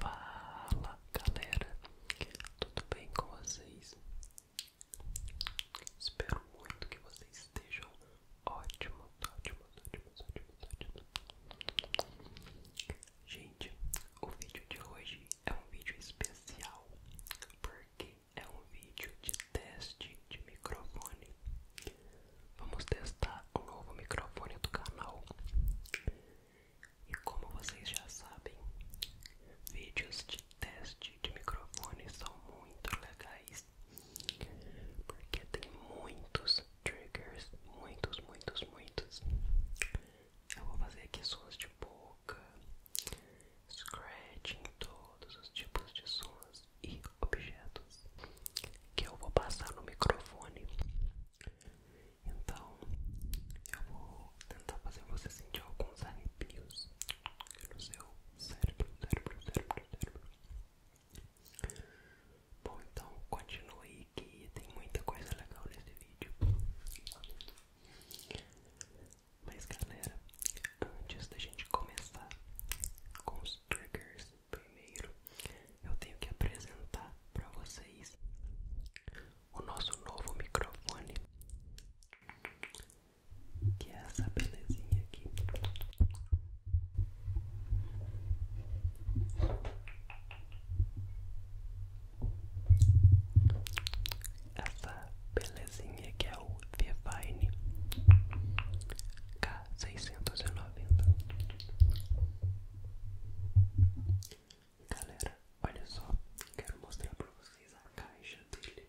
Fala galera, tudo bem com vocês? Espero muito que vocês estejam ótimo ótimo ótimo ótimo ótimos. Gente, o vídeo de hoje é um vídeo especial porque é um vídeo de teste de microfone. Vamos testar o novo microfone do canal. E como vocês já sabem, vídeos de teste de microfone são muito legais, porque tem muitos triggers, muitos, muitos, muitos. Eu vou fazer aqui sons de boca, scratching, todos os tipos de sons e objetos que eu vou passar no microfone. Então, eu vou tentar fazer você sentir alguns arrepios no seu cérebro, cérebro, cérebro, cérebro. Bom, então continue que tem muita coisa legal nesse vídeo. Mas galera, antes da gente começar com os triggers, primeiro eu tenho que apresentar para vocês o nosso novo microfone, que é essa belezinha aqui. Essa belezinha que é o Devine seiscentos e noventa Galera, olha só, quero mostrar para vocês a caixa dele.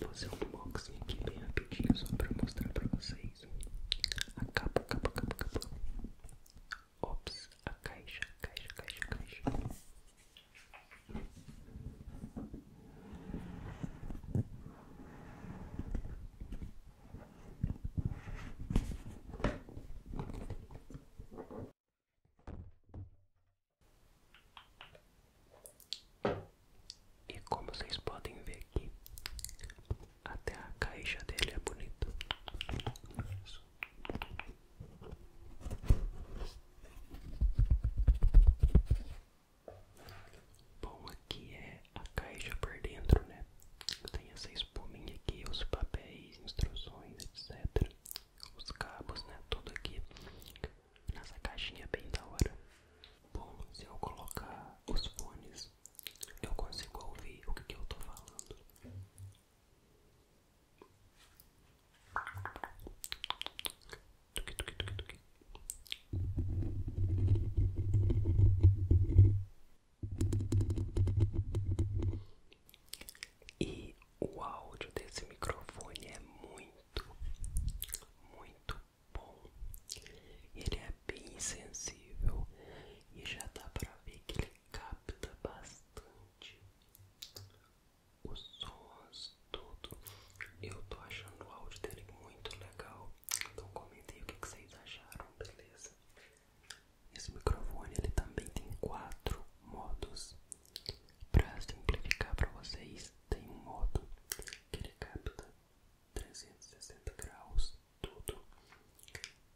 Vou fazer um unboxing aqui bem rapidinho só para mostrar para vocês a capa, capa, capa, capa. Ops, a caixa, caixa, caixa, caixa. E como vocês podem ver aqui, até a caixa dele é bonita. Bom, aqui é a caixa por dentro, né? Tem essa espuminha aqui, os papéis, instruções, etc os cabos, né? Tudo aqui nessa caixinha bem da hora. Bom, se eu colocar os fones, eu consigo ouvir o que, eu tô falando. E o áudio desse microfone é muito, muito bom. Ele é bem sensível e já dá pra ver que ele capta bastante os sons, tudo. Eu tô achando o áudio dele muito legal. Então comentem o que vocês acharam, beleza? Esse microfone ele também tem quatro modos. Para simplificar para vocês, tem um modo que ele capta 360 graus tudo.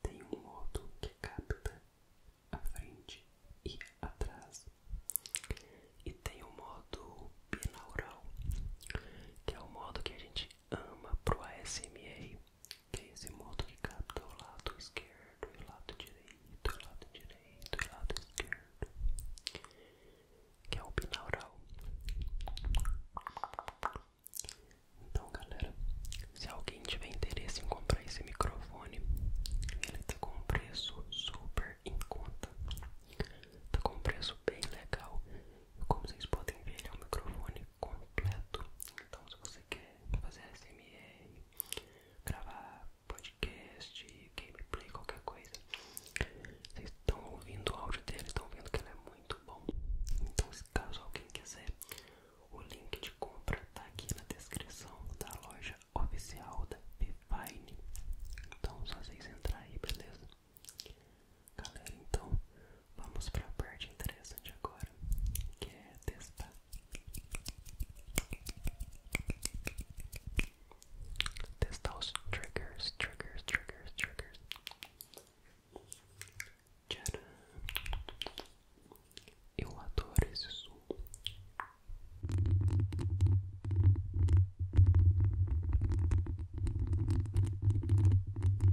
Tem um modo que capta a frente e atrás. E tem o um modo binaural, que é o modo que a gente ama pro ASMR que é esse modo que capta o lado esquerdo o lado direito, o lado direito e o lado esquerdo, que é o binaural. Então, galera, se alguém tiver interesse em comprar esse microfone, ele tá com um preço super em conta, tá com um preço bem legal. Como vocês podem ver, ele é um microfone completo. Então, se você quer fazer SMR, gravar podcast, gameplay, qualquer coisa, vocês estão ouvindo o áudio dele, estão vendo que ele é muito bom. Então, se caso alguém quiser, o link de compra tá aqui na descrição da loja oficial da Pifine. Então, só vocês entrarem aí, beleza? Galera, então Vamos para a parte interessante agora, que é testar. Testar os triggers, triggers, triggers, triggers. Tcharam! Eu adoro esse som.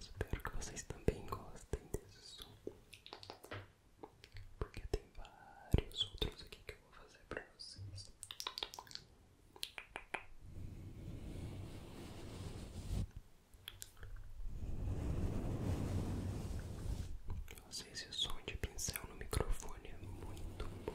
Espero que vocês também gostem desse som, porque tem vários outros aqui que eu vou fazer para vocês. Não sei se o som de pincel no microfone é muito bom.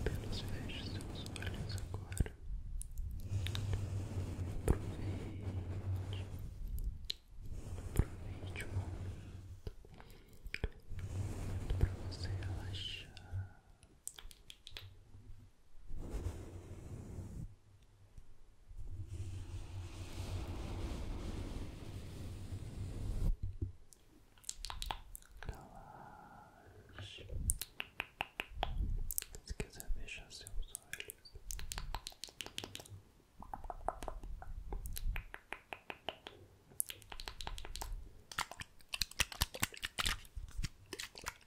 Apenas feche seus olhos agora. Aproveite. Aproveite muito, momento. para você relaxar. Relaxe. Se quiser fechar seus olhos. Relaxa.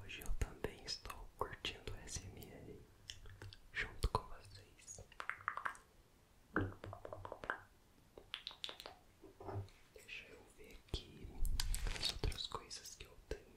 Hoje eu também estou curtindo o SMR junto com vocês. Deixa eu ver aqui as outras coisas que eu tenho.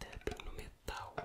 Tapping no metal.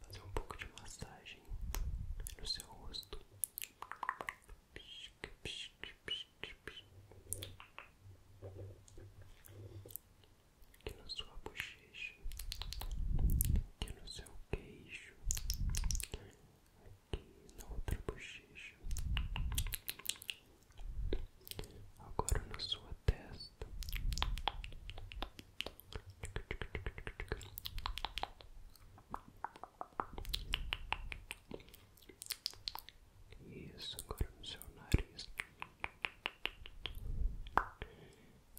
Fazer um pouco de massagem no seu rosto. Aqui na sua bochecha, aqui no seu queixo, aqui na outra bochecha, agora na sua testa, isso agora no seu nariz.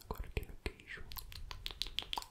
Agora aqui no queijo,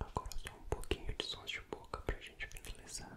Agora só um pouquinho de sons de boca para a gente finalizar.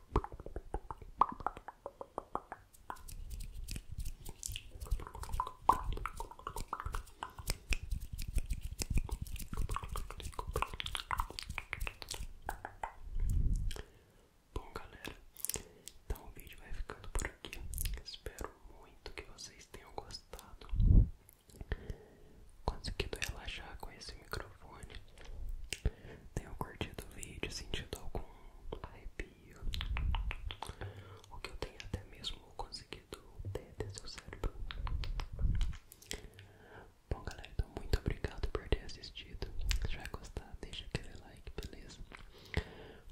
Bom, galera, então o vídeo vai ficando por aqui. Espero muito que vocês tenham gostado. Conseguido relaxar com esse microfone tenham curtido o vídeo, sentido algum arrepio, ou que eu tenha até mesmo conseguido ter de seu cérebro. Bom, galera, então muito obrigado por ter assistido. Se já gostar, deixa aquele like, beleza?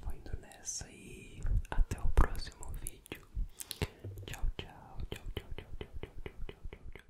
Vou indo nessa e até o próximo vídeo. Tchau, tchau, tchau, tchau, tchau, tchau, tchau, tchau, tchau, tchau. tchau.